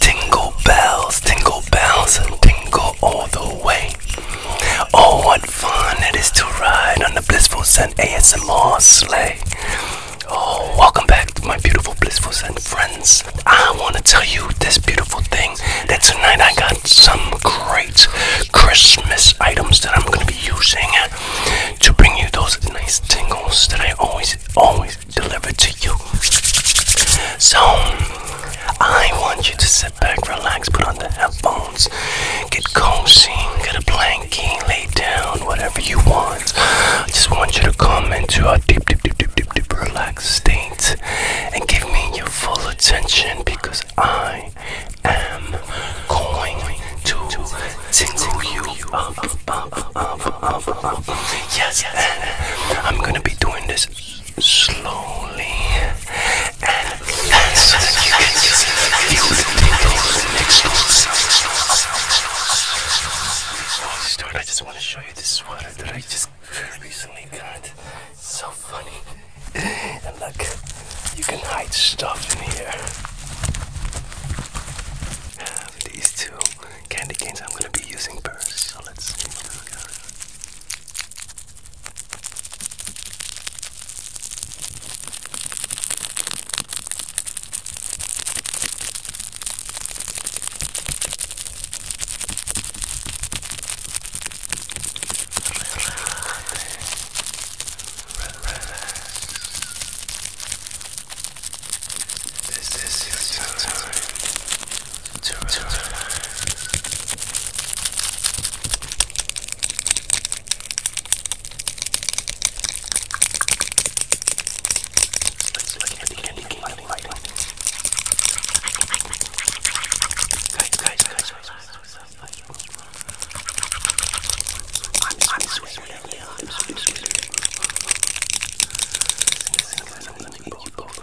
Tingle bells, tingle bells, and tingle all the way. Oh, what fun it is to ride on the Blissful Scent ASMR sleigh. Oh, welcome back to my beautiful Blissful Scent friends. I want to tell you this beautiful thing that tonight I got some great Christmas items that I'm going to be using to bring you those nice tingles that I always, always deliver to you. So, I want you to sit back, relax, put on the headphones, get cozy, get a blanket, lay down, whatever you want. I just want you to come into a deep, deep, deep, deep, deep, deep relax relaxed and give me your full attention because I am going to tingle you Yes, I'm gonna be doing this slowly and the next to I just want to show you this sweater that I just recently got. It's so funny. And look, you can hide stuff in here. These two candy canes I'm gonna be using first. So let's see. a look at it. This is your time to relax. To relax. Let's look at the candy cane lightning, lightning. Guys, guys, guys, I'm, I'm sweating. Yeah, I'm sweating. I'm gonna eat you both.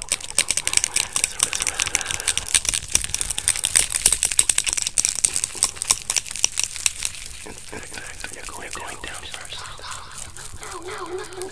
In fact, you're going down first. No, no, no.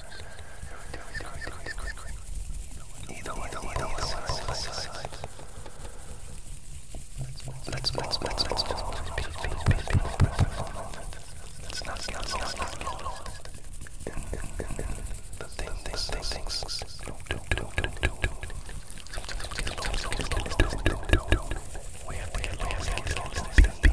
Either way, either way, Let's let's let's let's Let's not get lost in the things, things, things. We have to get lost.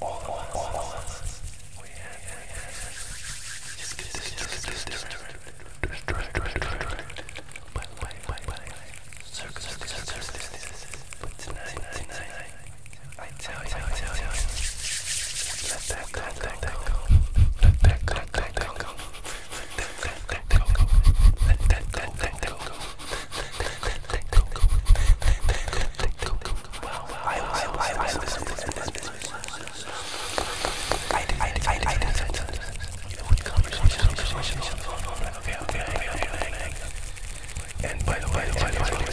all the ones, all the ones. We had, we had. Just get But tonight, tonight, I tell you, I tell you, let that go, let that go. Let that go, let that go. Let that go, let that go. Let that go, let that go. And by the way, by the way, by the way,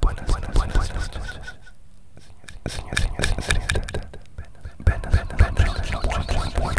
Buenas, buenas, buenas noches. Señor, señor, señor, buenas, buenas noches. Buenas noches. Buenas noches.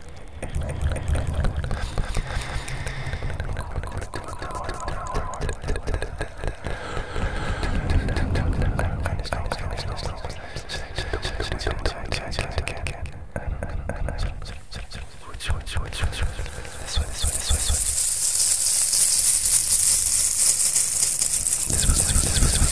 This was this was this was this was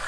One hour.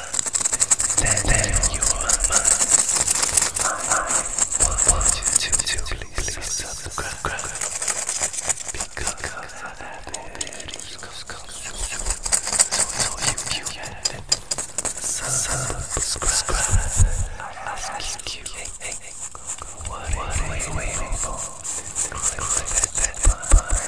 thank you I want you to subscribe because I have more videos coming so you can subscribe I ask you what are you waiting for? Click that button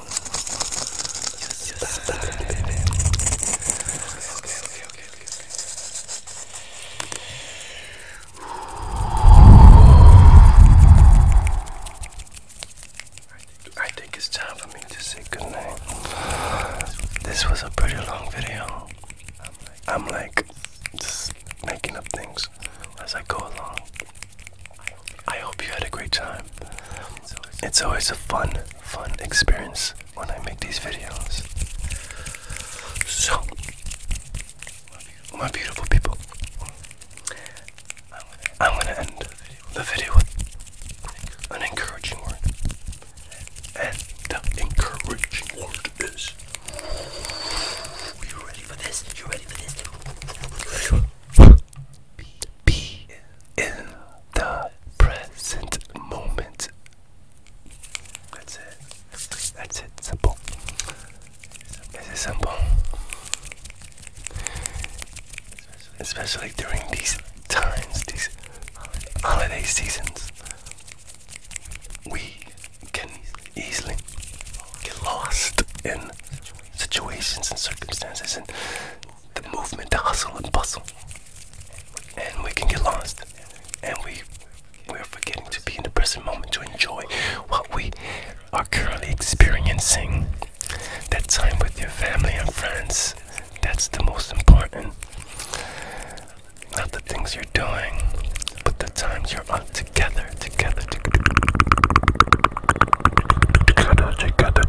I think it's time for me to say goodnight. This was a pretty long video. I'm like just making up things as I go along. I hope you had a great time. It's always a fun, fun experience when I make these videos. So, my beautiful people, I'm gonna end the video with an encouraging word. And the encouraging word is. Be, in the present moment. That's it. That's it. Simple. This is simple. Especially during these times, these holiday seasons. We can easily get lost in situations and circumstances and the movement, the hustle and bustle. And we can get lost. And we we're forgetting to be in the present moment to enjoy what we are currently experiencing. That time with your family and friends. That's the most important. Not the things you're doing, but the times you're on together, together, together. When you are together,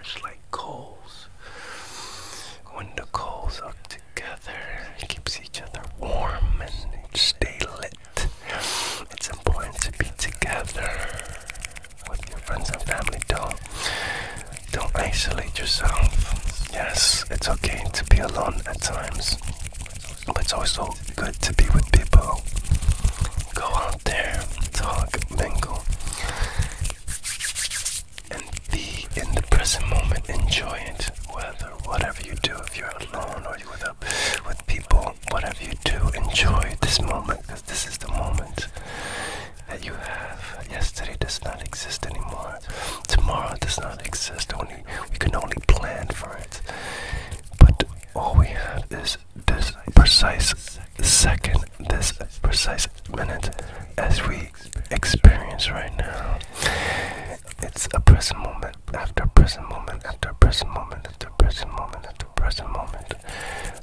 it's like coals. When the coals are together, it keeps each other warm and it stay lit. It's important to be together with your friends and family. Don't don't isolate yourself. Yes, it's okay to be alone at times, but it's also good to be with people. Go out there, talk, mingle, and be in the present moment. Enjoy it. Whether whatever you do, if you're alone or you're with with people, whatever you do, enjoy this moment this is the moment that you have. Yesterday does not exist anymore. Tomorrow does not exist. Only we can only plan for it. But all we have is this precise second, this precise minute, as we experience right now. It's a present moment after present moment after present moment after present moment after present moment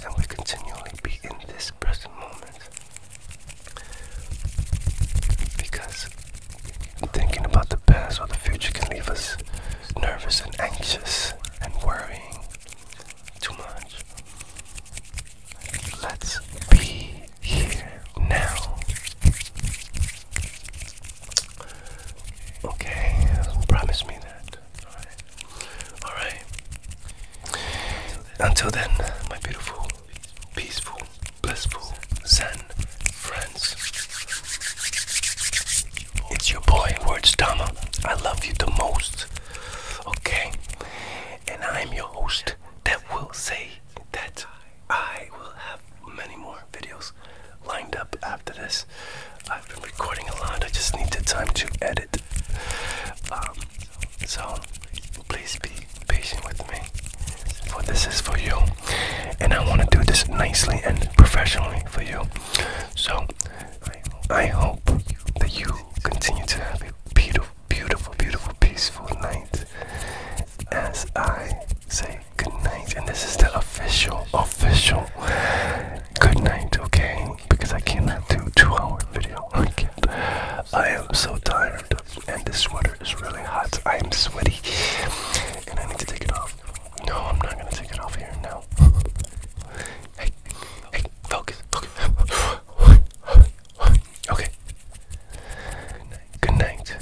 and we continually be in this present moment. Because thinking about the past or the future can leave us nervous and anxious and worrying too much. Let's be here now. Okay, promise me that. Alright. Alright. Until then, my beautiful, peaceful, blissful, zen friends. It's your boy, Words Dama. I love you the most. Okay? And I'm your host that will say that I will have many more videos lined up after this. I've been recording a lot, I just need the time to edit. Um, so please be patient with me. For this is for you. And I want to do this nicely and professionally for you. So I hope that you continue to have a beautiful, beautiful, beautiful, peaceful night. As I say good night. And this is the official, official good night, okay? long because I cannot do two hour video. I can't. I am so tired and this sweater is really hot. I am sweaty and I need to take it off. No, I'm not gonna take it off here now. hey, hey, focus, focus. okay. Good night. Good night.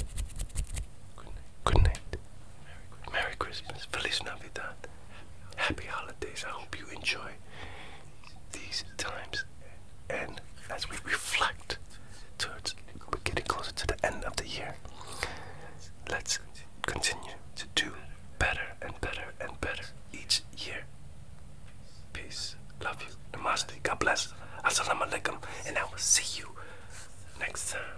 Good night. Merry Christmas. Feliz Navidad. Happy holidays. I hope you enjoy these times and as we reflect towards we're getting closer to the end of the year let's continue to do better and better and better each year peace love you namaste god bless assalamu alaikum and i will see you next time